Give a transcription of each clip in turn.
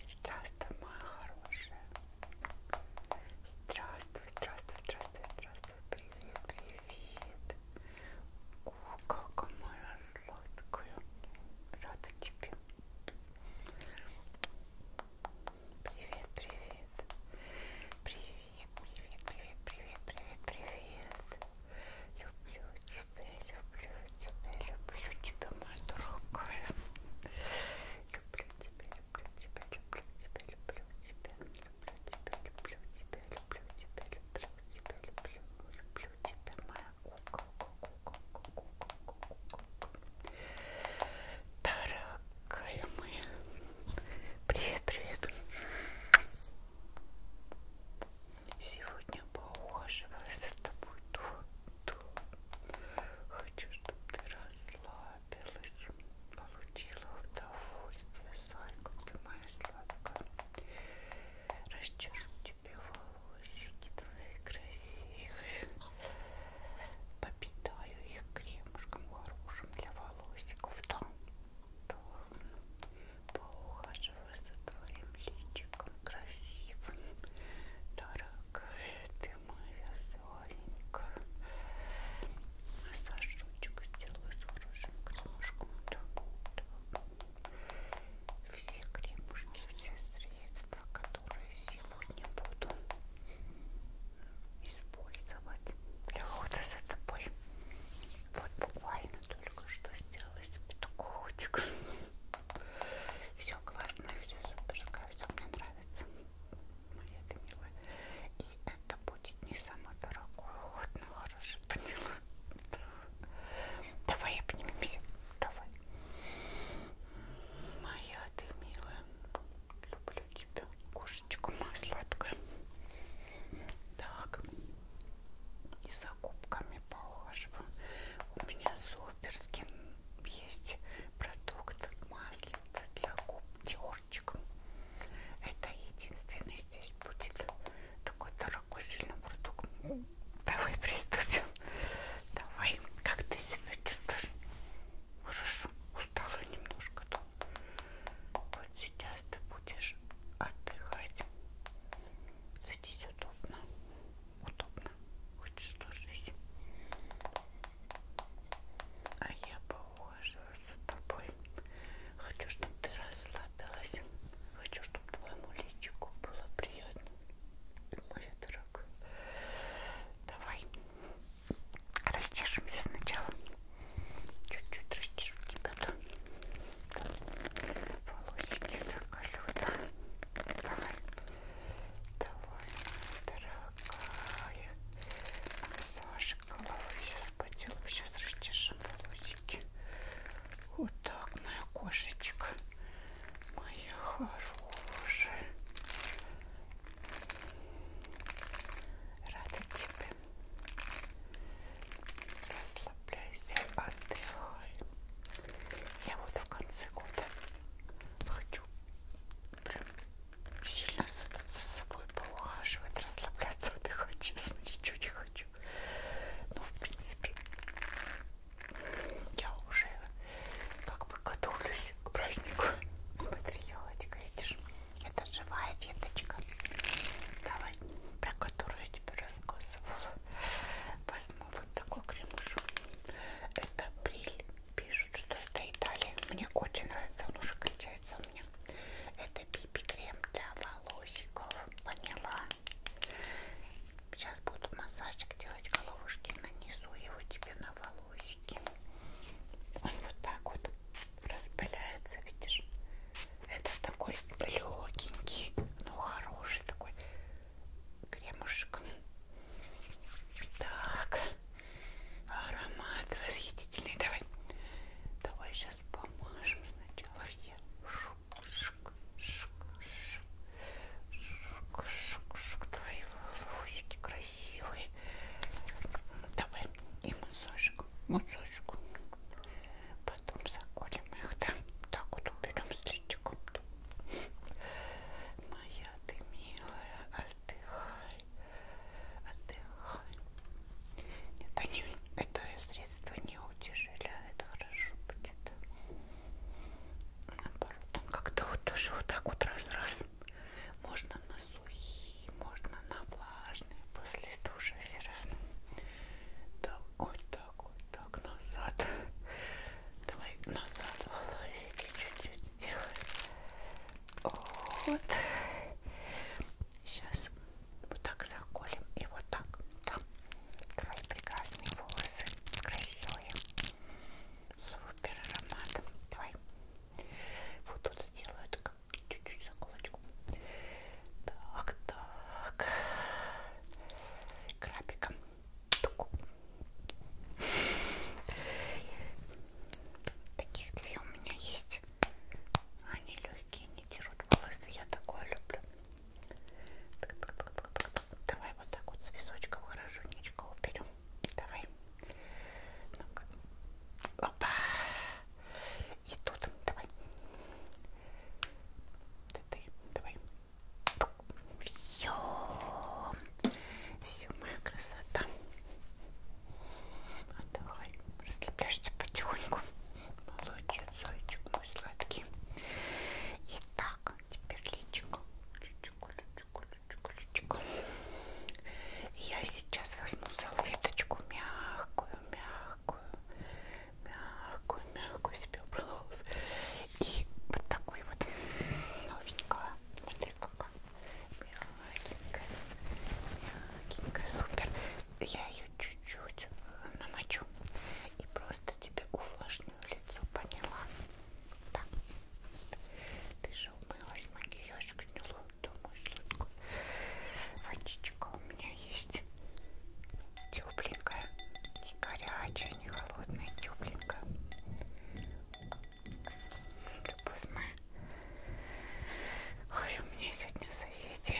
Здравствуй, моя хорошая. Здравствуй, здравствуй, здравствуй, здравствуй. Привет, привет. О, как моя сладкая. Рада тебе. Привет, привет. Привет, привет, привет, привет, привет, привет. Люблю тебя, люблю тебя, люблю тебя, мой дорогой. Люблю тебя, люблю тебя, люблю тебя, люблю тебя, люблю тебя, люблю тебя, люблю тебя, люблю тебя, люблю, люблю тебя, моя куколка, куколка, куколка, куколка. Дорогая моя. Привет, привет. Сегодня поухаживаю за тобой то, Хочу, чтобы ты расслабилась, получила удовольствие, Слайка, ты моя сладкая. Расчешу тебе волосики твои красивые, попитаю их кремушком хорошим для волосиков, да, да. Поухаживаю за твоим личиком красивым, дорогая ты моя Соленька. Массажочек сделаю с хорошим кружком. Все кремушки, все средства, которые сегодня буду использовать для ухода за тобой. Вот буквально только что сделала себе такой котик. Все классно, все суперское, все мне нравится. Моя ты милая. И это будет не самый дорогой уход, но ну, хороший, поняла? Давай обнимемся. Давай. Моя ты милая. Люблю тебя. Кошечка моя сладкая. Так. И за губками поухаживаю. У меня соль. Куперскин есть продукт маслица для губ терчиком. Это единственный здесь будет такой дорогой сильный продукт. Давай приступим. Давай, как ты себя чувствуешь? Хорошо, устала немножко. Вот сейчас ты будешь отдыхать. Садись удобно. Удобно. Хочешь ложись? А я положу за тобой. Хочу, чтобы ты расслабилась. Хочу, чтобы твоему личику было приятно. Моя дорогая. Давай растяжемся сначала. Чуть-чуть растяжу тебя там. Волосики заколю, да? Давай. Давай, дорогая. Массаж головы. Сейчас поделаем. Сейчас расчешем волосики. Вот так, моя кошечка. Моя хорошая. Рада тебе. Расслабляйся, отдыхай. Я вот в конце года хочу хочу прям сильно за собой поухаживать, расслабляться, отдыхать, честно, ничего не хочу. Ну, в принципе, я уже как бы готовлюсь к празднику. Смотри, елочка, видишь, это живая веточка, давай, про которую я тебе рассказывала. Возьму вот такой кремушек. Это бриль Пишут, что это Италия. Мне очень нравится, он уже кончается у меня. Это пипи крем для волосиков. Поняла. Сейчас буду массажик делать головушки. Нанесу его тебе на волосики. Он вот так вот распыляется, видишь? Это такой легенький, но хороший такой кремушек. Так, аромат восхитительный. Давай, давай сейчас помажем сначала все. Шук, шук, шук, шук, шук, шук. Твои волосики красивые. Давай и массажик, массажик. Потом заколем их, да? Так вот уберем с личиком моя ты милая, отдыхай, отдыхай. Нет, они, это средство не утяжеляет, хорошо будет. Наоборот, он как-то вот тоже вот так вот раз-раз. Можно на сухие, можно на влажные, после душа все равно. Да, вот так, вот так назад. Давай назад волосики чуть-чуть сделаем. Вот. Сейчас вот так заколем и вот так. Там твои прекрасные волосы. Красивые. Супер аромат. Давай. Вот тут сделаю как чуть-чуть заколочку. Так, так. Крабиком. Таких две у меня есть. Они легкие, не держат волосы. Я такое люблю. Так, так, так, так, так, так. Давай вот так вот с височком хорошенечко уберем. Давай. Ну-ка. Опа. И тут давай. Ты, ты, давай. Все, все, моя красота. Отдыхай, расслабляешься потихоньку. Молодец, зайчик мой сладкий. Итак, теперь личико, личико, личико, личико, личико. Я сейчас возьму салфеточку мягкую, мягкую, мягкую, мягкую себе убрала волосы. И вот такой вот новенькая. Смотри, какая мягенькая, мягенькая, супер. Я ее чуть-чуть э, намочу и просто тебе увлажню лицо, поняла? Да. Ты же умылась, макияж гнилой, думаю, сладкую. Водичка у меня есть тепленькая, не горячая, не холодная, тепленькая. Любовь моя. Ой, у меня сегодня соседи.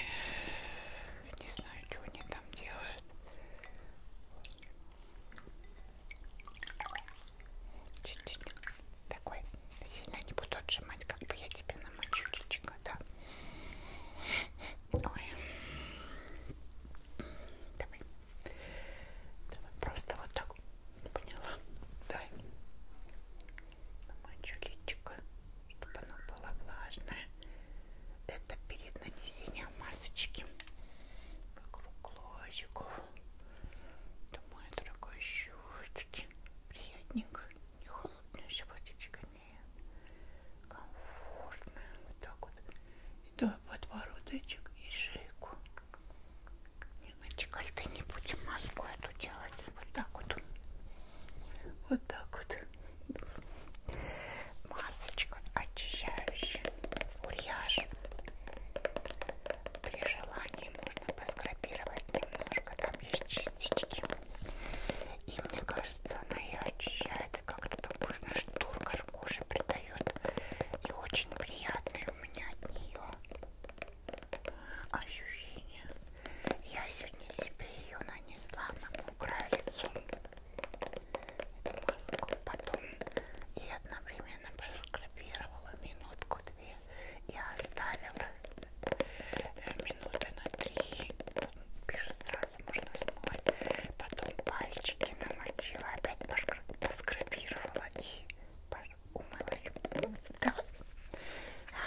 Не знаю, что они там делают. Чуть-чуть. Такой. Сильно не буду отжимать, как бы я тебе намочу личико, да. Ой. Давай. Давай просто вот так. Поняла? Дай. Намочу личико, чтобы оно было влажное. Это перед нанесением масочки. Вокруг ложиков. Это мои дорогой щечки. Приятненько. Не холодная щепотечка, нет. Комфортная. Вот так вот. И давай подбородочек и шейку. Девочка, ты не будем маску эту делать. Вот так вот. Вот так вот. Масочка очищающая. Ульяж. При желании можно поскрапировать немножко. Там есть частички. И мне кажется, она ее очищает и как-то такой, знаешь, турка коже придает. И очень приятный у меня от нее ощущение. Я сегодня себе ее нанесла на мокрое лицо. Эту маску потом и одновременно проскрепировала минутку-две и оставила э, минуты на три. Пишет сразу, можно смывать. Потом пальчики намочила, опять поскрепировала и пошла умылась. Да.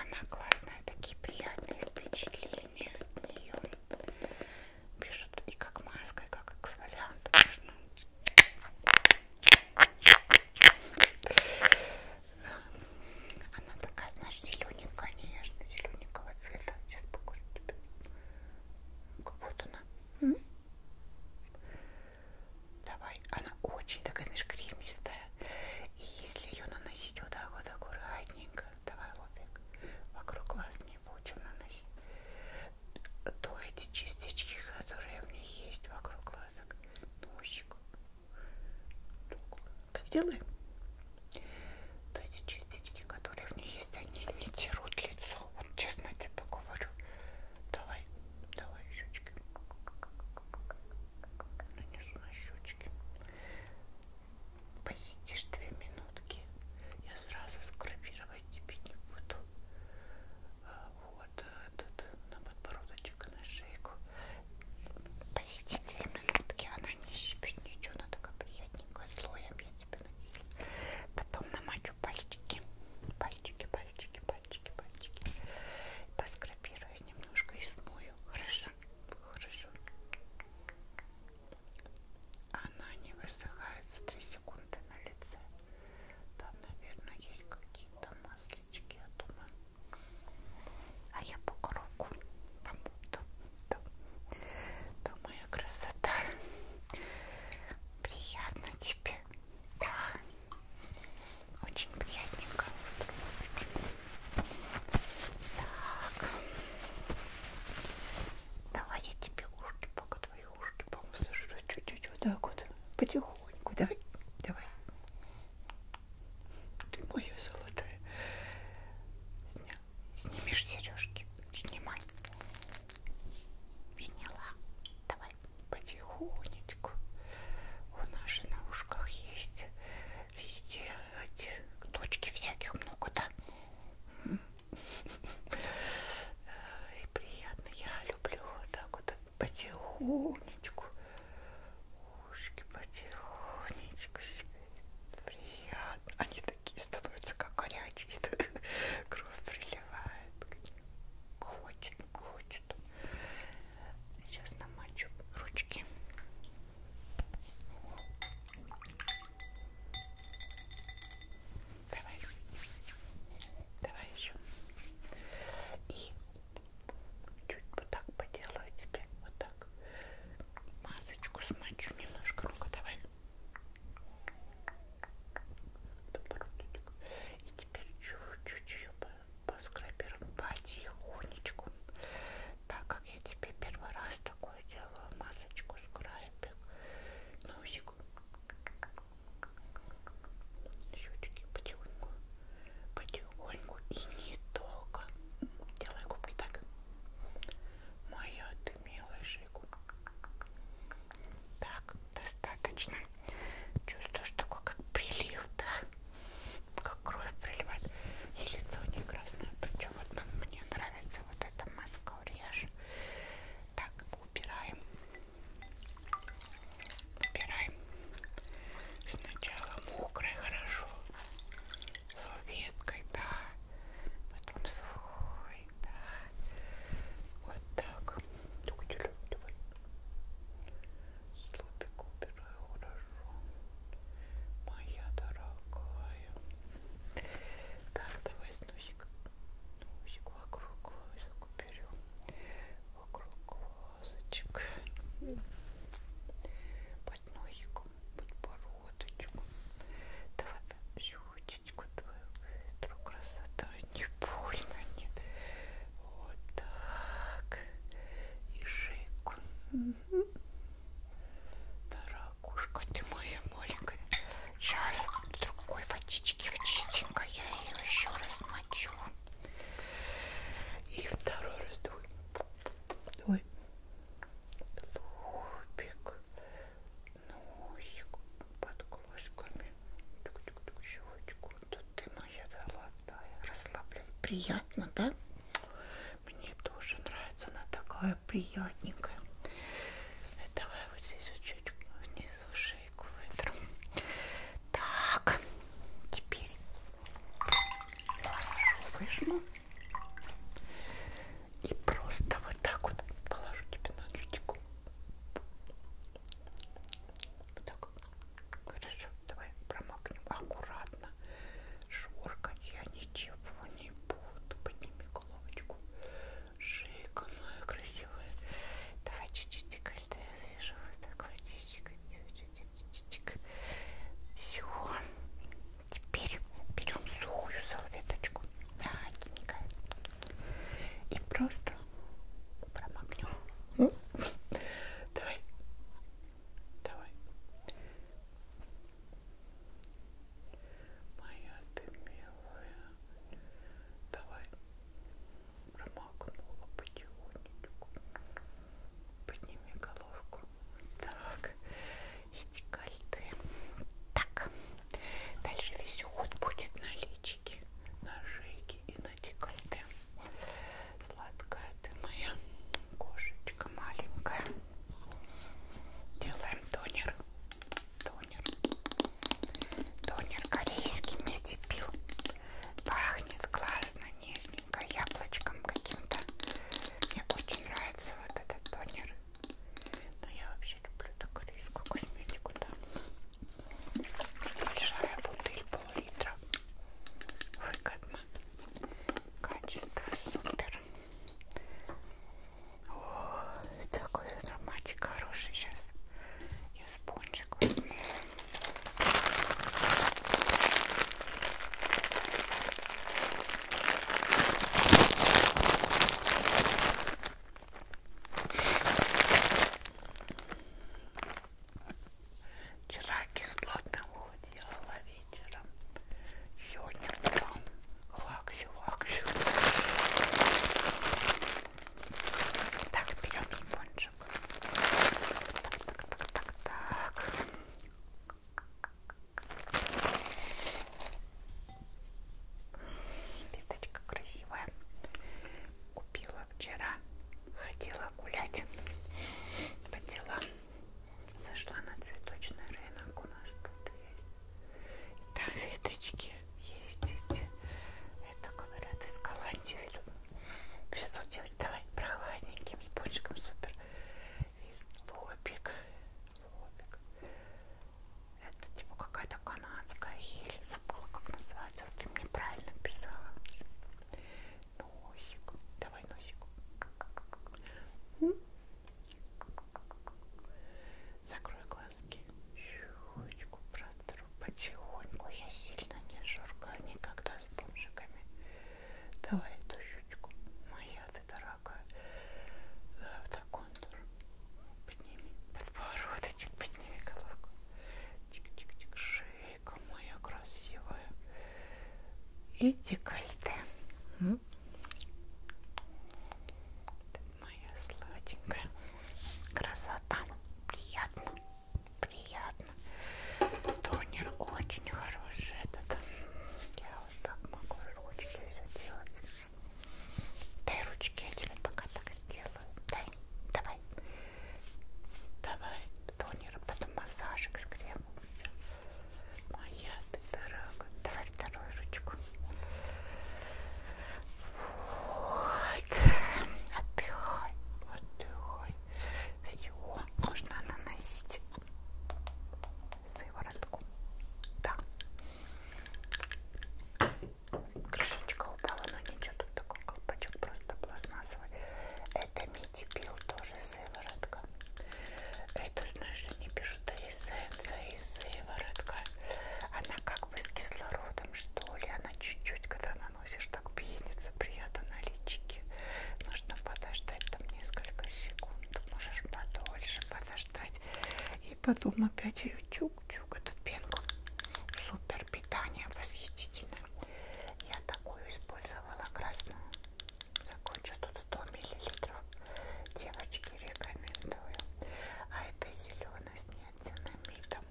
Она классная, такие приятные впечатления от нее. Пишут и как маска, и как эксфолиант. Можно. Она такая, знаешь, зелененькая, нежно зелененького цвета. Сейчас покажу тебе. Как вот она. Давай. Она очень такая, знаешь, кремистая. И если ее наносить вот так вот аккуратненько, давай, лобик, вокруг глаз не будем наносить, то эти частички, которые у меня есть вокруг глазок, носик, ну, так делаем, то эти частички, которые у меня есть, они не терут лицо, вот честно тебе говорю, Давай, давай щечки. Нанесу на щечки. Посидишь две минутки. Я сразу скрабировать тебе не буду. А, вот этот на подбородочек, на шейку. Посиди две минутки, она а не щипит ничего, она такая приятненькая, слоем я тебе нанесу. Потом намочу пальчики, пальчики, пальчики, пальчики, пальчики. Поскрабирую немножко и смою. Хорошо, хорошо. Она не высыхается 3 секунды на лице. Там, наверное, есть какие-то маслички, я думаю. А я по руку помню. Там, там, там моя красота. Приятно тебе. Да, очень приятненько. Так. Давай я тебе ушки, пока твои ушки помассажирую чуть-чуть вот так вот. Потихоньку. Давай, давай. Ты моя золотая. Сня... Снимешь сережки. Снимай. Сняла. Давай потихонечку. У нас же на ушках есть везде эти точки всяких много, да? Э, и приятно, я люблю вот так вот потихонечку. Ушки потихонечку себе. Приятно. Они такие становятся, как горячие. Кровь приливает. Хочет, хочет. Сейчас намочу ручки. Давай. Давай еще. И чуть вот так поделаю тебе. Вот так. Масочку смочу немножко. Ну-ка, давай. Подбородочек. И теперь чуть-чуть ее по по скраберам потихонечку. Так как я тебе первый раз такое делаю, масочку скрабик, носик, щечки потихоньку, потихоньку и недолго. Делай губки так. Моя ты милая шейку. Так, достаточно. Чувствуешь такой, как прилив, да? Как кровь приливает. И лицо не красное. Причем вот ну, мне нравится вот эта маска урежь. Так, убираем. Убираем. Сначала мокрой хорошо. Салветкой, да. Потом сухой, да. Вот так. Давай. Слопик убираю хорошо. Моя дорогая. Так, давай с носик. Носик вокруг глазок уберем. Вокруг глазочек. Под носиком, подбородочком. Давай щечечку твою быстро. Красота. Не больно, нет. Вот так. И шейку. Угу. Дорогушка ты моя маленькая. Сейчас другой водички в чистенько я ее еще раз мочу. И второй раз дуй. Дуй. Лупик. Носик под глазками. Тук-тук-тук, щелочку тут ты моя золотая, расслаблен. Приятно, да? Мне тоже нравится, она такая приятненькая. Давай вот здесь вот чуть внизу шейку вытру. Так, теперь хорошо выжму. И просто вот так вот положу тебе на лютику. Вот так. Хорошо, давай промокнем аккуратно. Шоркать я ничего не буду. Подними головочку. Шейка моя красивая. Давай чуть-чуть декольте свежего. Такой чуть-чуть. Все. Теперь берем сухую салфеточку. Да, и просто это промокнем. Ну. Давай. Давай. Моя ты милая. Давай. Промокнула потихонечку. Подними головку. Так. Иди кальты. Так. Дальше весь уход будет на личике, на шейке грудинке и на декольте. Сладкая ты моя кошечка маленькая. Делаем тонер. Тонер. Тонер корейский медипил. Пахнет классно, нежненько, яблочком каким-то. Мне очень нравится вот этот тонер. Но я вообще люблю такую корейскую косметику, да. Большая бутыль, пол-литра выгодно. Качество супер. О, такой ароматик хороший сейчас. Я спонжик возьму. Вчера кислотного делала вечером. Сегодня утром лаксю, лаксю. Так, берем пончик. Так, так, так, так. Леточка красивая. Купила вчера ходила гулять по делам. Зашла на цветочный рынок у нас тут есть. И там веточки есть эти. Это, говорят, из Голландии везут делать. Давай прохладненьким, с пончиком супер. И лобик. Лобик. Это типа какая-то канадская ель. Забыла, как называется. Вот ты мне правильно писала. Носик. Давай носик. Закрой глазки. Щучку протру потихоньку. Я сильно не журкаю никогда с бомжиками. Давай эту щучку. Моя ты дорогая. Да, э, вот так контур. Подними подбородочек, подними головку. Тик-тик-тик. Шею шейка моя красивая и декольте. М? Ты моя сладенькая красота. Приятно, приятно. Тонер очень хороший этот. Я вот так могу ручки все делать. Дай ручки, я тебе пока так сделаю. Дай, давай. Давай тонер, потом массажик с кремом. Моя ты дорога. Давай вторую ручку. Вот. Отдыхай. Отдыхай. Все, можно наносить сыворотку. Да. Крышечка упала, но ничего, тут такой колпачок просто пластмассовый. Это мити пил тоже же сыворотка. Это, знаешь, они пишут эссенция и сыворотка. Она как бы с кислородом, что ли. Она чуть-чуть, когда наносишь, так пенится приятно на личике. Нужно подождать там несколько секунд. Можешь подольше подождать. И потом опять ее чук-чук, эту пенку. Супер питание восхитительно. Я такую использовала красную. Закончу тут 100 миллилитров. Девочки, рекомендую. А это зеленый с неоцинамидом.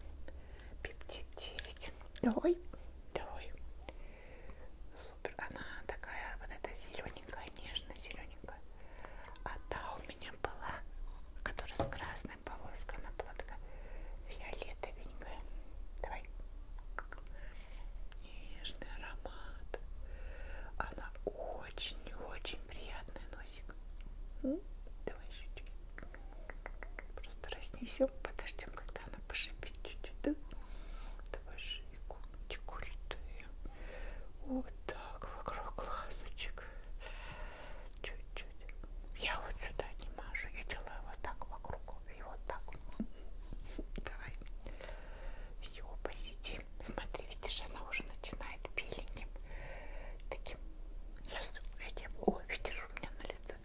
Пептид 9. Давай. Давай. Супер. Она такая вот эта зелененькая, нежно-зелененькая. А та у меня была, которая с красной полоской, она была такая фиолетовенькая. Давай. Нежный аромат. Она очень-очень приятная носик. Mm. Давай еще чуть-чуть. Просто разнесем, подождем, когда она пошипит чуть-чуть. Да? Давай шейку, декуритую. Вот так, вокруг глазочек. Чуть-чуть. Я вот сюда не мажу, я делаю вот так вокруг руку и вот так. Давай. Все, посиди. Смотри, видишь, она уже начинает беленьким. Таким. Сейчас я тебе... О, видишь, у меня на лице.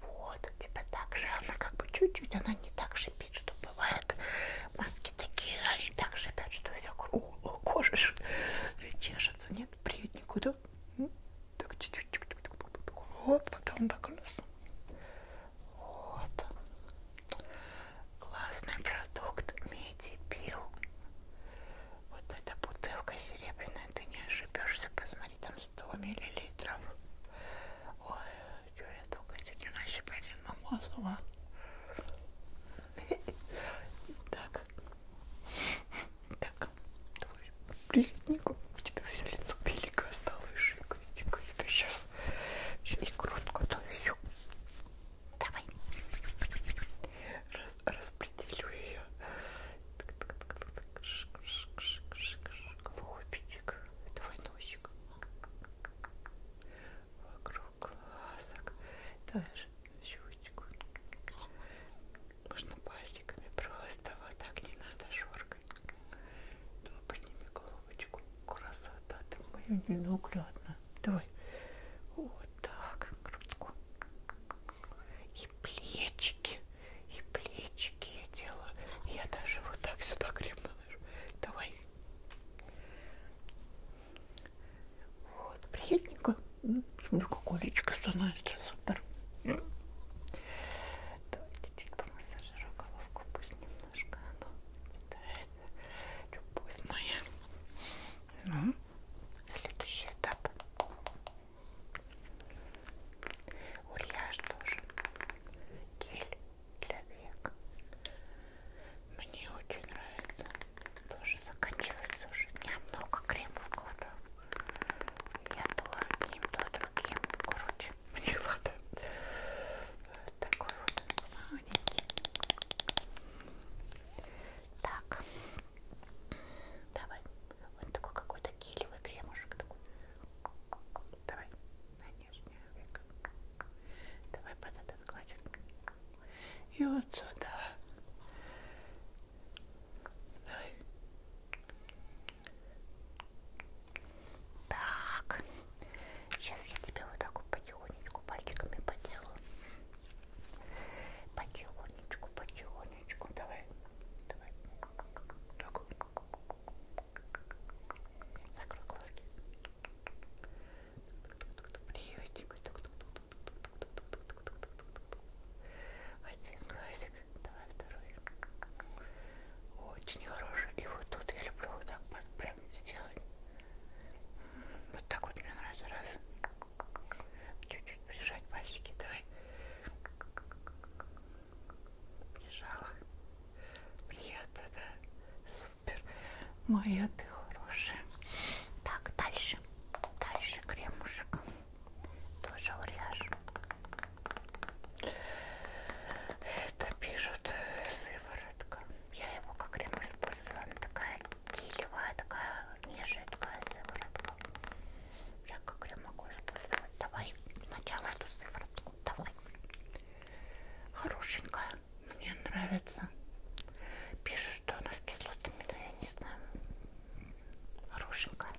Вот, у тебя так же. Она как бы чуть-чуть, она не так шипит, что бывает. Маски такие, они так шипят, что вся кожа чешется. Нет, приют никуда. Так чуть-чуть. Оп, потом так. Вот. Классный продукт медипил. Вот эта бутылка серебряная, ты не ошибешься, посмотри, там 100 миллилитров. Ой, что я только сегодня нащипарин намазала. Так, так, твой плитнику. У тебя все лицо беленькое стало и жидкое. Сейчас и грудку довью. Давай. Раз, распределю ее. Лобик. Твой носик. Вокруг глазок. Давай щучку. Можно пальчиками просто. Вот так не надо, Жор. Давай подними головочку. Красота ты моя ненаглядная. Давай. Вот так. Грудку. И плечики. И плечики я делаю. Я даже вот так сюда крем наношу. Давай. Вот. Приятненько. Смотри, как уличка становится. Супер чуть-чуть помассажирую типа, головку, пусть немножко оно а питается. Любовь моя. Ну, следующий этап. Ульяш тоже. Гель для век. Мне очень нравится. Тоже заканчивается уже. У меня много кремов кожи. Я то одним, то другим. Короче, мне хватает такой вот маленький так давай он такой какой-то килевый кремушек такой давай на нижнее веко давай под этот гладик и вот сюда давай так, сейчас я тебя вот так вот потихонечку пальчиками поделаю. Потихонечку, потихонечку. Давай, давай. Так. Закрой глазки. Приятненько. Один глазик давай второй. Очень хороший. И вот тут я люблю вот так вот прям сделать. Вот так вот мне нравится. Раз. Чуть-чуть прижать пальчики. Давай. Прижала. Приятно, да? Супер. Моя ты хорошая. Так, дальше. Дальше кремушек. Тоже уряж. Это пишут сыворотка. Я его как крем использовала. Она такая килевая, такая нежидкая сыворотка. Я как крем могу использовать. Давай сначала эту сыворотку. Давай. Хорошенькая. Мне нравится. Пишут, что она с кислотами, но я не знаю. Хорошенькая.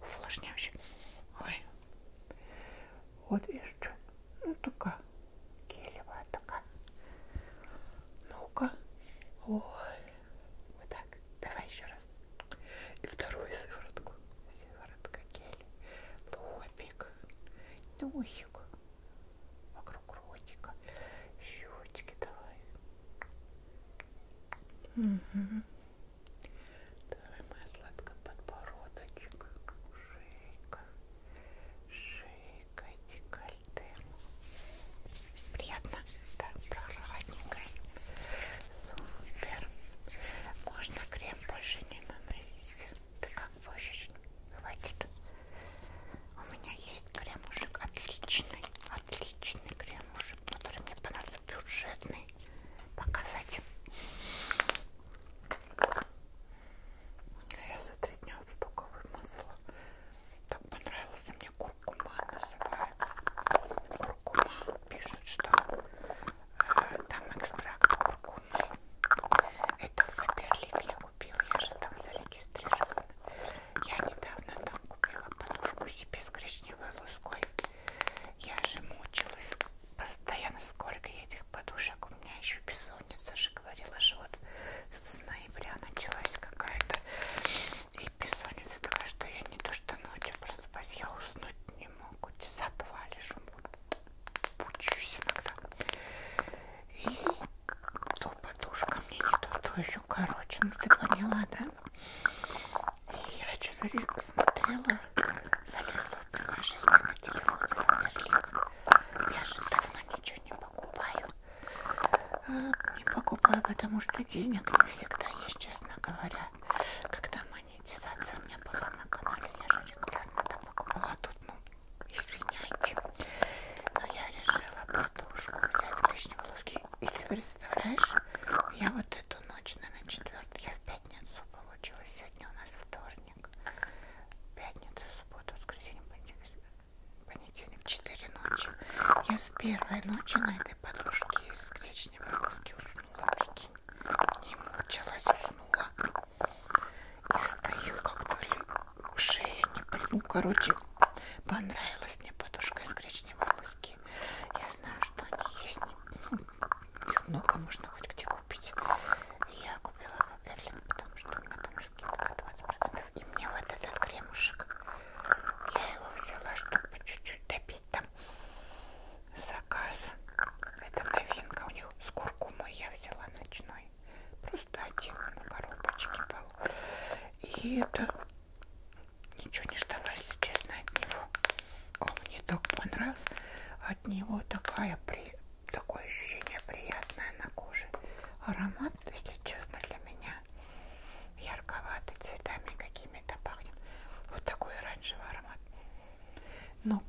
Увлажняющая. Ой. От і що? Ну така кілева така. Ну-ка. Ой. Вот так. Давай еще раз. И вторую сыворотку. Сыворотка кель. Лобик. Носик. Вокруг ротика. Щечки давай. Угу. Давай, моя сладкая, подбородочек, шейка, шейка, декольте. Приятно? Да, прохладненько. Супер. Можно крем больше не наносить. Ты как хочешь. Хватит. У меня есть кремушек отличный, отличный кремушек, который мне понравился бюджетный стороны показать. Я за три дня вот столько вымазала. Так понравился мне куркума называется. Куркума пишут, что э, там экстракт куркумы. Это в Фаберлик я купила, я же там зарегистрирована. Я недавно там купила подушку себе с гречневой луской. Я же мучилась постоянно, сколько я этих этих подушек у меня еще бессонница же говорила, что вот с ноября началась какая-то и бессонница такая, что я не то что ночью просыпаюсь, я уснуть не могу, часа два лежу, пучусь иногда. И то подушка мне не то, то еще короче, ну ты поняла, да? И я что-то смотрела, залезла в приложении на телефоне Аверлик. Я же давно ничего не покупаю. А, не покупаю, потому что денег не всегда есть, честно говоря. Когда монетизация у меня была на канале, я же регулярно там покупала. А тут, ну, извиняйте. Но я решила подушку взять коричневые лоски. И ты представляешь, я вот эту ночь, наверное, четвертую, я в пятницу получилась. Сегодня у нас вторник вторник, пятница, суббота, воскресенье, понедельник, понедельник, 4 ночи. Я с первой ночи на этой подушке из гречневой доски уснула, прикинь. Не мучилась, уснула. И стою, как-то шея не... Ну, короче, понравилась мне подушка из гречневой доски. Я знаю, что они есть не... Их много можно хоть где купить. Я купила в Берлин, потому что у меня там скидка 20%. И мне вот этот кремушек, я его взяла, чтобы чуть-чуть добить там заказ. Это новинка у них с куркумой я взяла ночной. Просто один на коробочке был. И это ничего не ждала, если честно, от него. Он мне так понравился. От него такая при такое ощущение приятное на коже. Аромат, если честно, для меня ярковатый, цветами какими-то пахнет. Вот такой оранжевый аромат. Но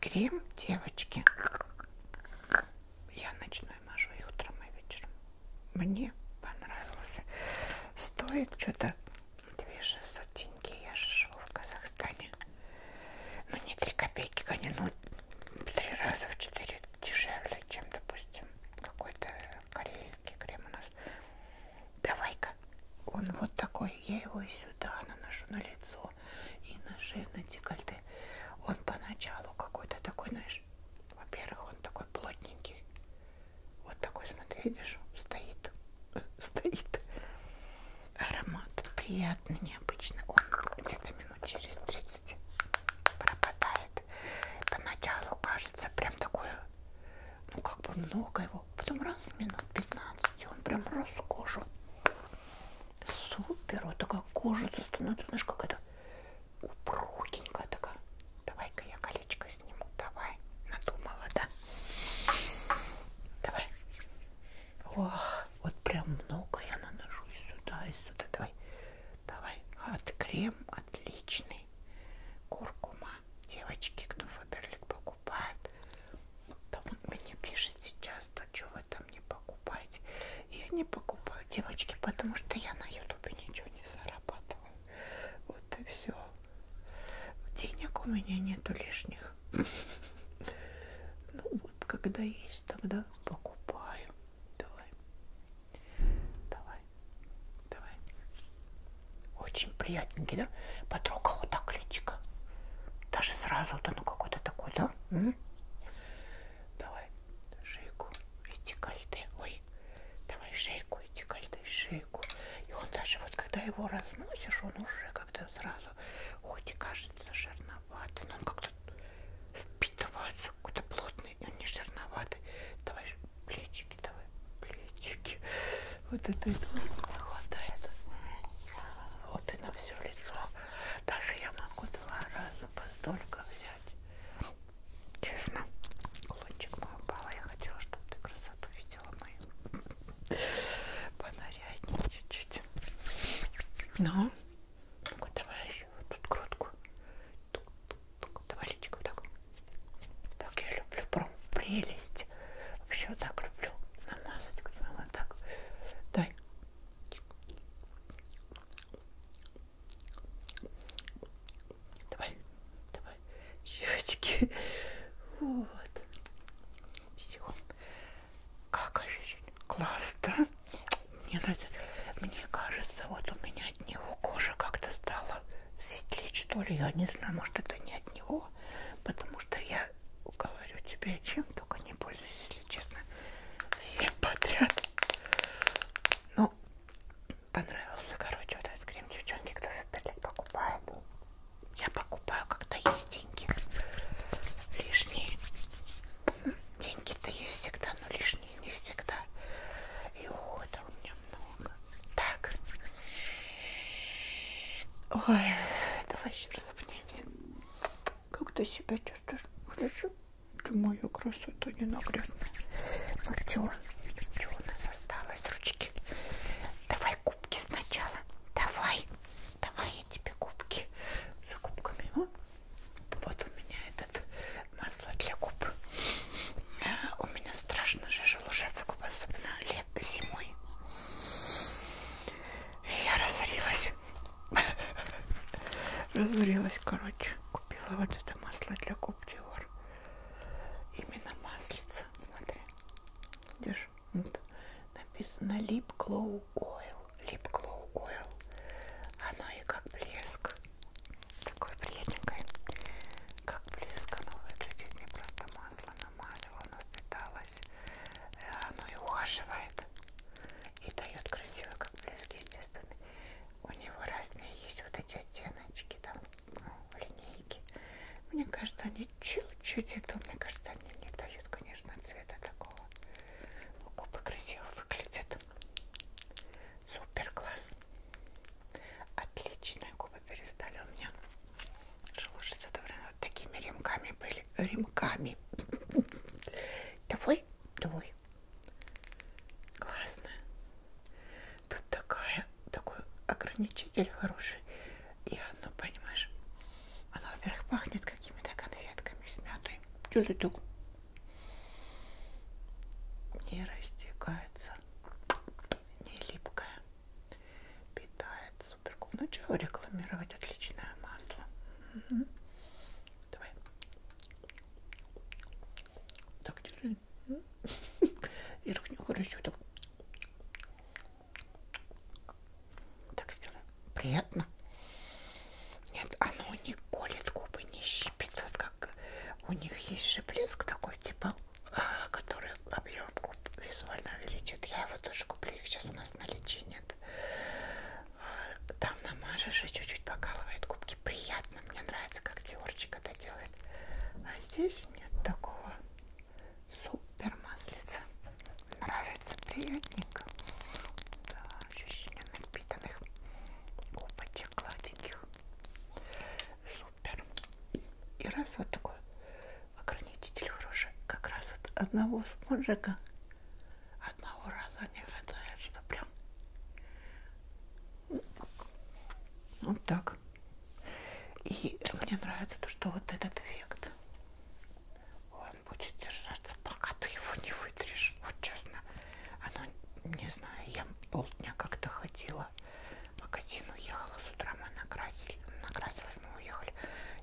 крем, девочки, я ночной мажу и утром, и вечером. Мне понравился. Стоит что-то 2600 вот деньги, я же живу в Казахстане. Ну не 3 копейки, конечно, ну 3 раза в 4 дешевле, чем, допустим, какой-то корейский крем у нас. Давай-ка. Он вот такой, я его и сюда наношу на лицо, и на шею, на декольте. Он поначалу какой-то такой, знаешь, во-первых, он такой плотненький. Вот такой, смотри, видишь, стоит, стоит. Аромат приятный, необычный. Он где-то минут через 30 пропадает. Поначалу кажется прям такое, ну как бы много его. Потом раз минут 15 он прям рос кожу. Супер, вот такая кожица становится, знаешь, какая-то упругенькая такая. Давай-ка я колечко сниму, давай. Надумала, да? Давай. Ох, вот прям много я наношу и сюда, и сюда. Давай, давай. От крем отличный. Куркума. Девочки, кто Фаберлик покупает, там мне пишете часто, что вы там не покупаете. Я не покупаю, девочки, потому что я на ютубе ничего не зарабатываю. Вот и все. Денег у меня нету лишних. Ну вот, когда есть, тогда покупаю. Давай. Давай. Давай. Очень приятненький, да? Потрогал вот так личико. Даже сразу вот оно какое-то такое, да? М -м? Давай шейку и декольте. Ой, давай шейку и декольте, шейку. И он даже вот когда его разносишь, он уже как-то сразу, хоть и кажется жирно жирноватый, но ну, он как-то впитывается, какой-то плотный, и он не жирноватый. Давай же плечики, давай плечики. Вот это этого не хватает. Вот и на все лицо. Даже я могу два раза постолько взять. Честно, кулончик мой упал. Я хотела, чтобы ты красоту видела мою. Понаряднее чуть-чуть. Ну, ну давай еще вот тут грудку. Тук -тук -тук. Давай личико так. Так я люблю прям прелесть. Вообще вот так люблю намазать. Вот так. Дай. Давай, давай, щечки. Вот. Все. Как ощущение? Класс, да? Мне, мне кажется, вот у меня от него кожа как-то стала светлеть, что ли. Я не знаю, может, это не от него, потому что я говорю тебе, чем только не пользуюсь, если честно, всем подряд. Ну, понравился, короче, вот этот крем, девчонки, кто же опять покупает. Я покупаю, когда есть деньги. Лишние. Деньги-то есть всегда, но лишние не всегда. И ухода у меня много. Так. Ой, давай еще разобнемся. Как ты себя чувствуешь? Хорошо? Ты мою красоту а ненаглядную. Ну чё? Чё у нас осталось? Ручки. Давай кубки сначала. Давай. Давай я тебе губки за губками. А? Вот у меня этот масло для губ. А, у меня страшно же шелушатся губы, особенно лет зимой. Я разорилась. Разорилась, короче. Купила вот это масло для губ Диор. Именно маслица. Смотри. Видишь? Вот. Написано Lip Glow Oil. Lip Glow Oil. Оно и как блеск. Такой приятненькой. Как блеск оно выглядит. Не просто масло намазала, оно впиталось. Э, оно и ухаживает. И дает красиво, как блеск, естественно. У него разные есть вот эти оттеночки, там, ну, линейки. Мне кажется, они чуть-чуть идут. Мне кажется, они не дают, конечно, цвета такого такого. Но губы красиво выглядят. Супер класс. Отличные губы перестали у меня шелушиться. Вот такими ремками были. Ремками. Давай, давай. Классно. Тут такая, такой ограничитель хороший. И оно, понимаешь, оно, во-первых, пахнет какими-то конфетками с мятой. Чуть-чуть так не растекается, не липкое, питает супер. Ну чего рекламировать отличное масло? Угу. Давай. Так, держи. Верхнюю хорошо так. Так сделаем. Приятно? Нет, оно не колет губы, не щипит. Вот как у них есть же блеск такой, типа, а, который объем губ визуально увеличит. Я его тоже куплю, их сейчас у нас на наличии нет. Там намажешь и чуть-чуть покалывает губки. Приятно, мне нравится, как Диорчик это делает. А здесь нет такого супер маслица. Нравится приятненько. Да, ощущение напитанных губочек гладеньких. Супер. И раз вот такой ограничитель уже как раз от одного спонжика одного раза не хватает, что прям вот так. И мне нравится то, что вот этот эффект он будет держаться, пока ты его не вытрешь. Вот честно, оно, не знаю, я полдня как-то ходила, в магазин уехала, с утра мы накрасили, накрасилась, мы уехали.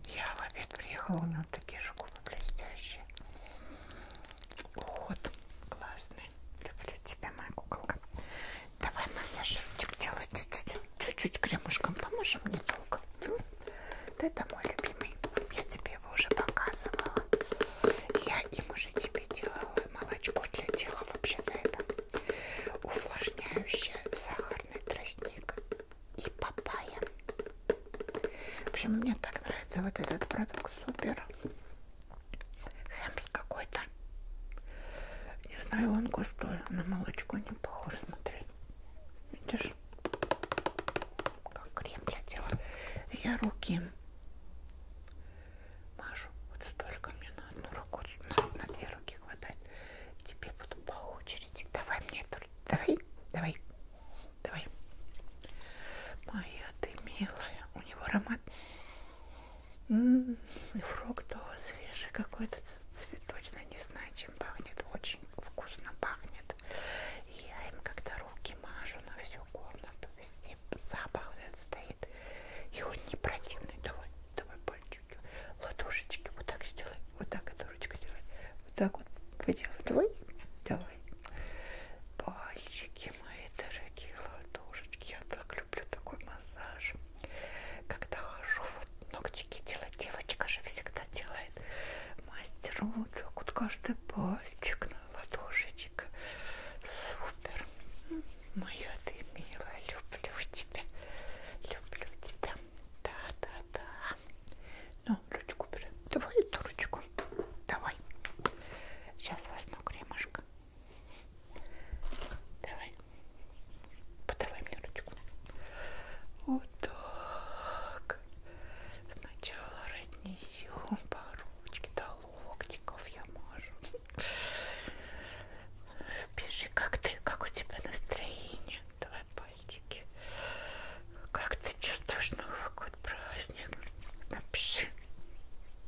Я в обед приехала, у него такие же губы блестящие. Вот, классный. Люблю тебя, моя куколка. Давай массажик делать чуть-чуть кремушком. Поможем недолго. Ну, вот это мой любимый. Я тебе его уже показывала. Я им уже тебе делала молочко для тела вообще-то это. Увлажняющая сахарный тростник и папайя. В общем, мне так нравится вот этот продукт. Супер. Хэмс какой-то. Не знаю, он густой. На молочко не похож, смотри. Видишь? как крем для тела. Я руки мажу. Вот столько мне на одну руку, на, на две руки хватает. Тебе буду по очереди. Давай мне эту. Давай, давай, давай. Моя ты милая. У него аромат. М -м -м, фруктовый, свежий какой-то цветочный. Не знаю, чем пахнет. Очень вкусно пахнет. И я им когда руки мажу на всю комнату, везде запах стоит. И он не противный. Давай, давай пальчики, ладошечки. Вот так сделай. Вот так эту ручку делай. Вот так вот поделай. Давай, давай. Пальчики мои дорогие, ладошечки. Я так люблю такой массаж. Когда хожу, вот ногтики делать. Девочка же всегда делает мастеру вот так вот каждый пальчик на ладошечка. Супер. Моя ты милая, люблю тебя. Люблю тебя. Да-да-да. Ну, ручку бери. Давай эту ручку. Давай. Сейчас возьму кремушка. Давай. Подавай мне ручку. Вот так. Сначала разни нанесем по ручке до локтиков я мажу. Пиши, как ты, как у тебя настроение? Давай пальчики. Как ты чувствуешь Новый год праздник? Напиши.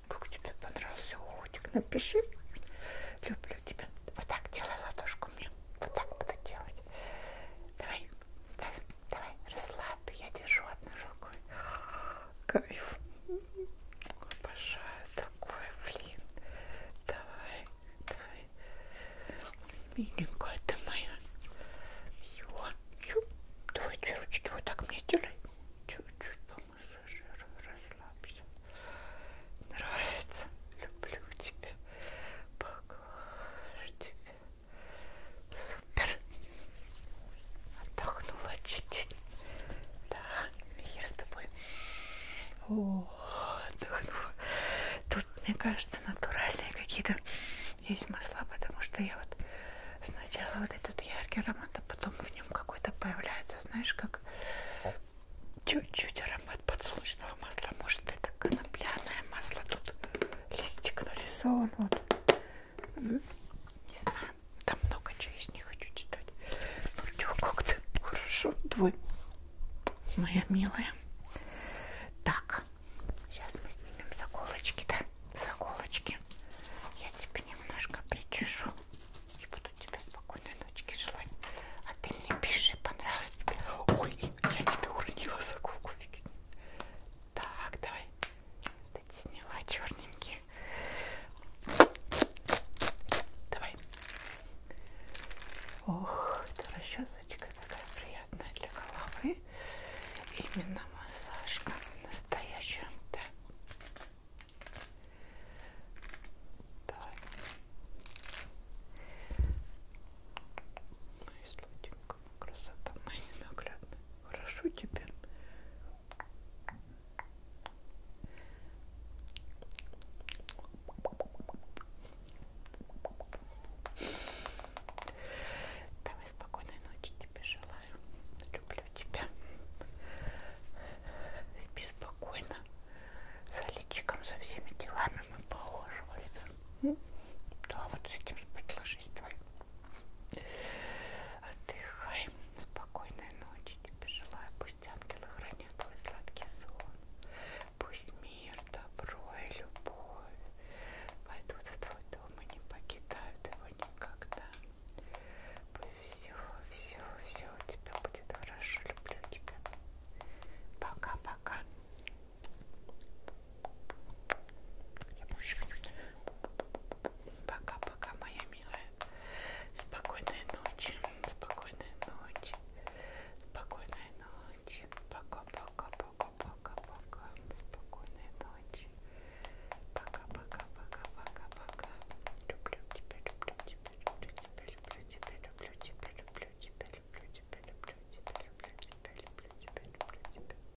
Как тебе понравился уходик? Напиши. Люблю тебя. Вот так делай ладошку мне. Вот так буду делать. Давай, ставь. Давай, расслабь, я держу одной рукой. Кайф. Обожаю такое, блин. Давай, давай. Миленькая ты моя. Все. Давай, ручки вот так мне делай. Чуть-чуть помассажируй, расслабься. Нравится. Люблю тебя. Поглажу тебя. Супер. Отдохнула чуть-чуть. Да, я с тобой. О, отдохнула. Тут, мне кажется, натуральные какие-то есть масла, потому что я вот сначала вот этот яркий аромат, а потом в нем какой-то появляется, знаешь, как чуть-чуть аромат подсолнечного масла. Может, это конопляное масло. Тут листик нарисован. Вот не знаю, там много чего есть, не хочу читать. Ну что, как-то хорошо, твой, моя милая. Так, сейчас мы снимем заколочки, да? Заколочки. Я тебе немножко причешу. И буду тебе спокойной ночки желать. А ты мне пиши, понравилось тебе. Ой, я тебе уронила заколку, фиг с ним. Так, давай. Ты сняла черненькие. Давай. Ох, это расчесочка такая приятная для головы. Именно массажка настоящая. Да. Давай. Ну и слотенько красота моя ненаглядная. Хорошо тебе. Давай спокойной ночи тебе желаю. Люблю тебя. Спи спокойно. За личиком, за всеми делами мы положим, Да, ну, вот с этим ложись давай. Отдыхай. Спокойной ночи тебе желаю. Пусть ангелы хранят твой сладкий сон. Пусть мир, добро и любовь войдут в твой дом и не покидают его никогда. Пусть все, все, все у тебя будет хорошо. Люблю тебя. Пока-пока. Пока-пока, моя милая. Спокойной ночи. Спокойной ночи. Спокойной ночи. Пока-пока-пока-пока-пока. Спокойной ночи. Пока-пока-пока-пока-пока. Люблю тебя, люблю тебя, люблю тебя, люблю тебя, люблю тебя, люблю тебя, люблю тебя, люблю тебя, люблю тебя, люблю тебя, люблю тебя, люблю тебя.